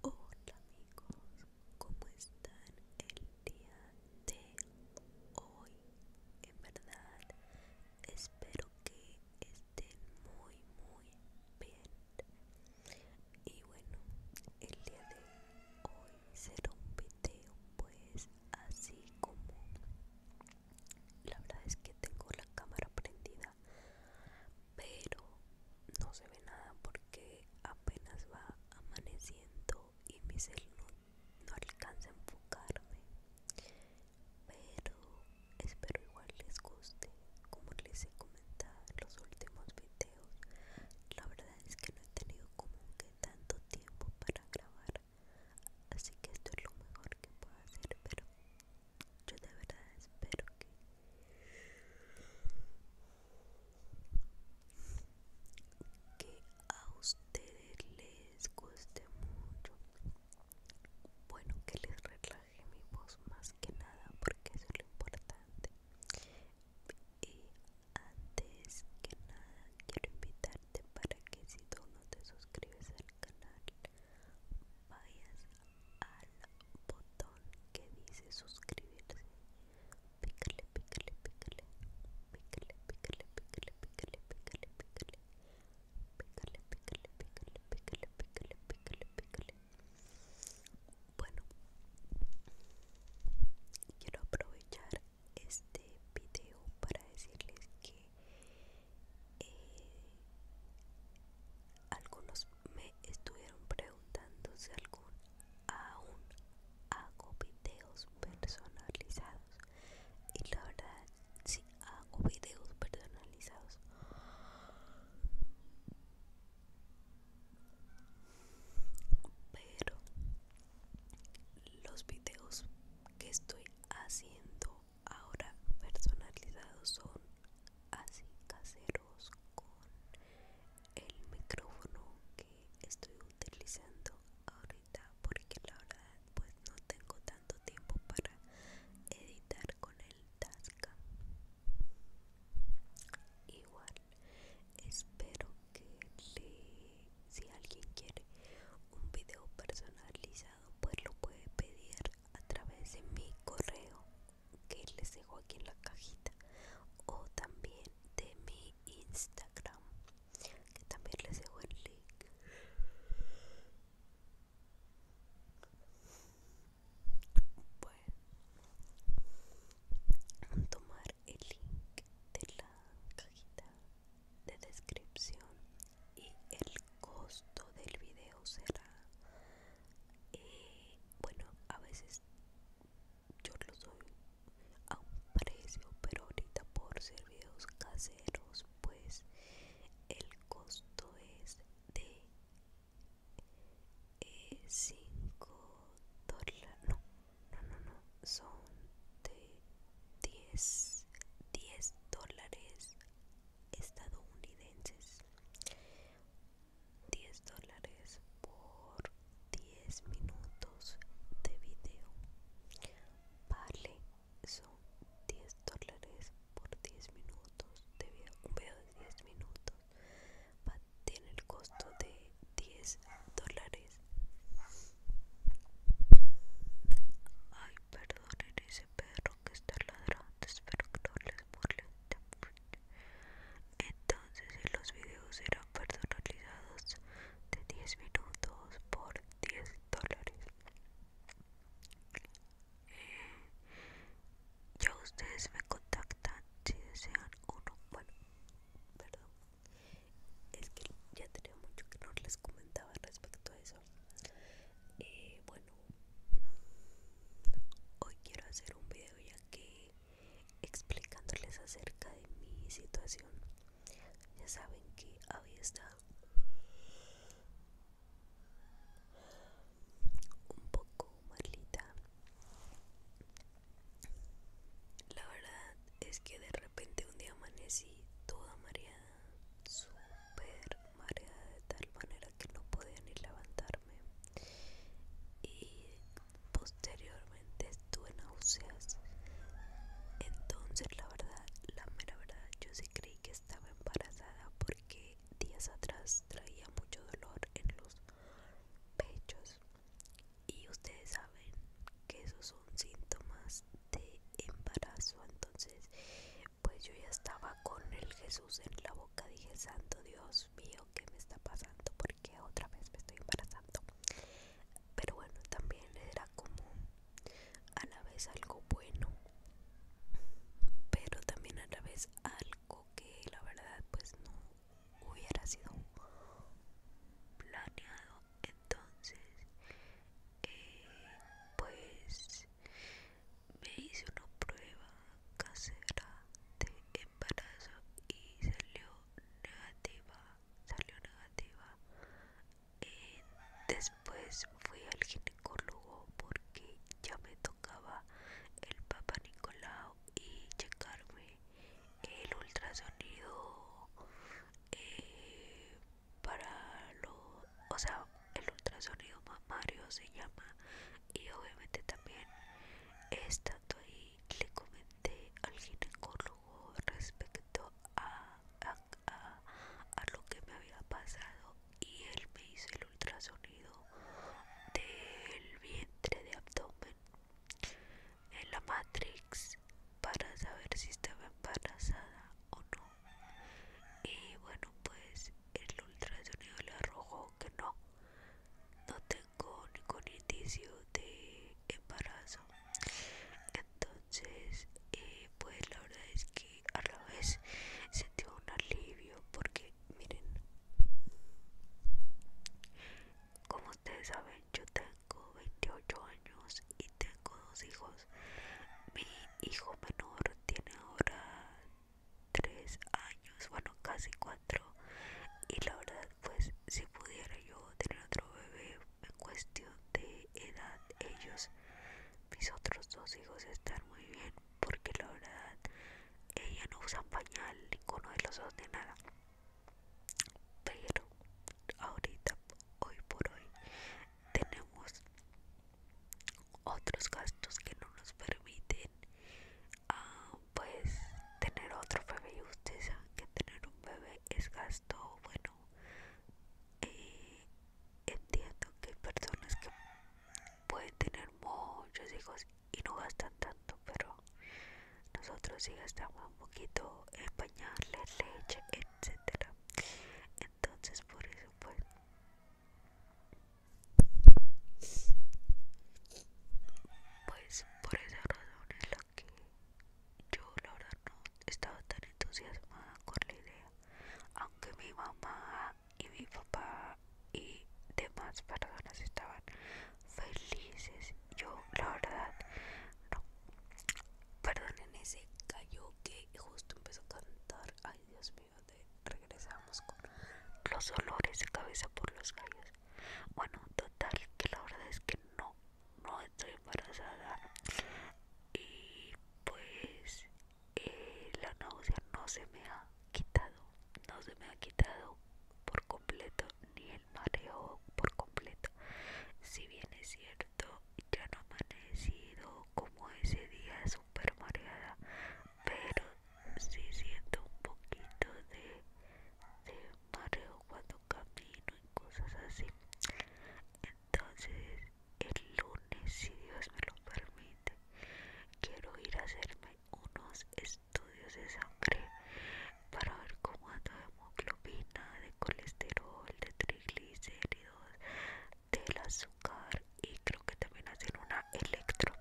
Hola amigos, ¿cómo están el día de hoy? En verdad, espero que estén muy muy bien. Y bueno, el día de hoy será un video pues así como... La verdad es que tengo la cámara prendida pero no se ve nada porque apenas va amaneciendo y mi celular no, no alcanza a enfocarme pero espero igual les guste como les he comentado en los últimos videos la verdad es que no he tenido como que tanto tiempo para grabar así que esto es lo mejor que puedo hacer pero yo de verdad espero que a ustedes les guste mucho. Bueno, que les relaje mi voz más que nada porque eso es lo importante. Y antes que nada quiero invitarte para que si tú no te suscribes al canal vayas al botón que dice suscribirse. Pícale, pícale, pícale. Pícale, pícale, pícale, pícale, pícale, pícale. Pícale, pícale, pícale, pícale, pícale, pícale, pícale. Bueno, quiero aprovechar este video para decirles que eh, algunos me estuvieron preguntando si algún aún hago videos personalizados y la verdad si sí, hago videos personalizados pero los videos que estoy haciendo ahora personalizados son así caseros con el micrófono que estoy utilizando ahorita porque la verdad pues no tengo tanto tiempo para editar con el Tascam igual espero que si alguien quiere un video personalizado pues lo puede pedir a través de mi correo que les dejo aquí en la cajita o también de mi Instagram que también les dejo el link bueno tomar el link de la cajita de descripción y el costo del video será eh, bueno a veces yo lo doy a un precio pero ahorita por ser videos caseros pues el costo es de 5 eh, dólares no no no no son de 10 10 dólares estadounidenses 10 dólares por 10 minutos de video vale son 10 dólares por 10 minutos de video un video de 10 minutos va, tiene el costo de 10 dólares ay perdón ese este perro que está ladrando, espero que no les burle Entonces, los videos serán personalizados de 10 minutos por 10 dólares. Eh, ya ustedes me contactan si desean uno. Bueno, perdón. Es que ya tenía mucho que no les comentaba respecto a eso. Eh, bueno hoy quiero hacer un video ya que explicándoles acerca de mi situación ya saben que había estado un poco malita la verdad es que de repente un día amanecí toda mareada super mareada de tal manera que no podía ni levantarme y posteriormente estuve náuseas entonces la verdad la mera verdad yo sí creí que estaba embarazada porque días atrás traía mucho dolor en los pechos y ustedes saben que esos son síntomas de este embarazo entonces pues yo ya estaba con el Jesús en la boca dije santo Dios mío qué me está pasando porque otra vez me estoy embarazando pero bueno también era como a la vez algo bueno pero también a la vez algo que la verdad pues no hubiera sido planeado entonces eh, pues me hice una prueba casera de embarazo y salió negativa salió negativa eh, después fui al ginecólogo porque ya me tocaba el papá Nicolau y checarme el ultrasonido eh, para lo, o sea, el ultrasonido mamario se llama y obviamente también estando ahí le comenté al ginecólogo respecto a, a, a lo que me había pasado y él me hizo el ultrasonido del vientre de abdomen en la matrix para saber si estaba embarazada o no y bueno pues el ultrasonido le arrojó que no no tengo ningún indicio de embarazo entonces eh, pues la verdad es que a la vez sentí un alivio porque miren como ustedes saben yo tengo 28 años y tengo dos hijos. Mi hijo menor tiene ahora 3 años, bueno, casi 4. Y la verdad, pues si pudiera yo tener otro bebé en cuestión de edad, ellos, mis otros dos hijos están muy bien porque la verdad, ella no usa pañal, ninguno de los dos ni nada pero ahorita hoy por hoy tenemos otros gastos que no nos permiten ah, pues tener otro bebé y ustedes saben que tener un bebé es gasto bueno eh, entiendo que hay personas que pueden tener muchos hijos y no gastan tanto pero nosotros sí gastamos un poquito en bañarle leche, etcétera. Entonces por eso pues pues por esa razón es la que yo la verdad no estaba tan entusiasmada con la idea aunque mi mamá y mi papá y demás personas estaban felices. Yo, la verdad, no. Perdonen ese gallo que justo empezó a cantar. Ay, Dios mío, de, regresamos con los olores de cabeza por los calles Bueno, total, que la verdad es que no, no estoy embarazada. Y pues eh, la náusea no se me ha quitado, no se me ha quitado por completo ni el mareo por completo. Si bien es cierto, ya no amanecido como ese día super mareada, pero sí siento un poquito de, de mareo cuando camino y cosas así. Entonces, el lunes, si Dios me lo permite, quiero ir a hacerme unos estudios de sangre para ver cómo anda de hemoglobina, de colesterol, de triglicéridos, del azúcar y creo que también hacen una electro.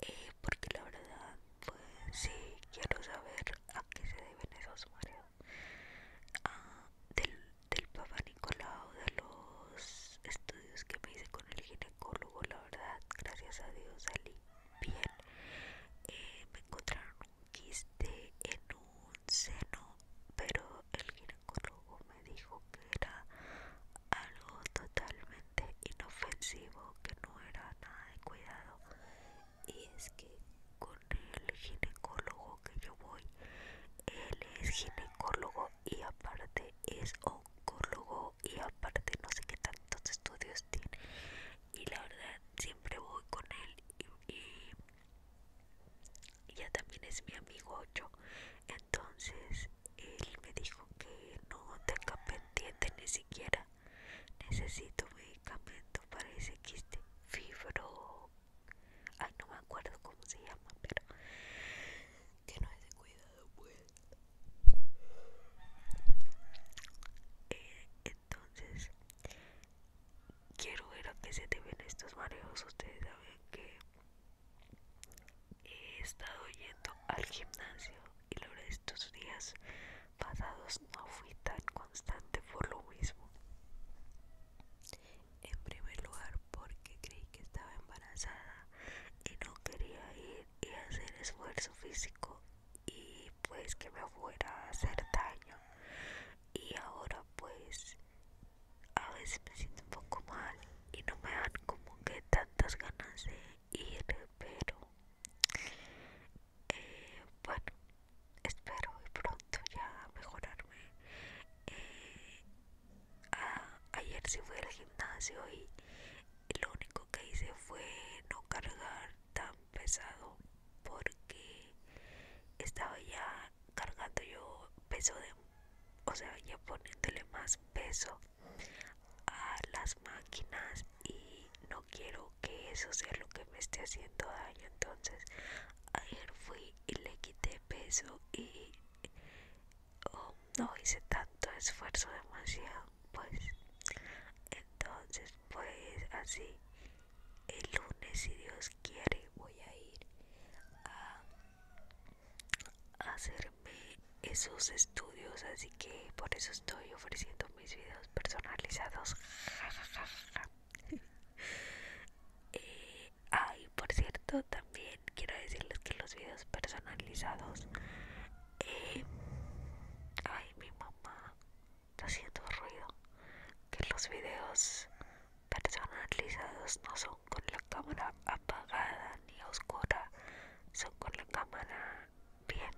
Eh, porque la verdad, pues sí, quiero saber a qué se deben esos mareos. Ah, del, del Nicolau, de los estudios que me hice con el ginecólogo, la verdad, gracias a Dios salí bien. Eh, me encontraron un quiste en un seno, pero el ginecólogo me dijo que era algo totalmente inofensivo, que no era nada de cuidado. Y es que con el ginecólogo que yo voy, él es ginecólogo y aparte es hombre y aparte no sé qué tantos estudios tiene y la verdad siempre voy con él y, ya también es mi amigo yo entonces él me dijo que no tenga pendiente ni siquiera necesito medicamento para ese quiste fibro ay no me acuerdo cómo se llama pero que no es de cuidado pues entonces quiero ver a qué se deben estos mareos ustedes saben que he estado yendo al gimnasio y la verdad estos días pasados no fui tan constante por lo mismo en primer lugar porque creí que estaba embarazada y no quería ir y hacer esfuerzo físico y pues que me fuera a hacer daño y ahora pues a veces me siento un poco mal y no me dan como que tantas ganas de ir pero eh, bueno espero pronto ya mejorarme eh, ayer sí fui al gimnasio y lo único que hice fue no cargar tan pesado porque estaba ya cargando yo peso de, o sea, ya poniéndole más peso a las máquinas y no quiero que eso sea lo que me esté haciendo daño. Entonces, ayer fui y le quité peso y o oh, no hice tanto esfuerzo demasiado pues entonces pues así el lunes si Dios quiere voy a ir a, hacerme esos estudios así que por eso estoy ofreciendo mis videos personalizados ja, eh, por cierto quiero decirles que los videos personalizados eh, ay mi mamá está haciendo ruido que los videos personalizados no son con la cámara apagada ni oscura son con la cámara bien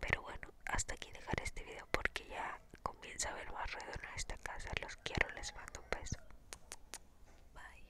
pero bueno hasta aquí dejar este video porque ya comienza a haber más ruido en esta casa los quiero les mando un beso bye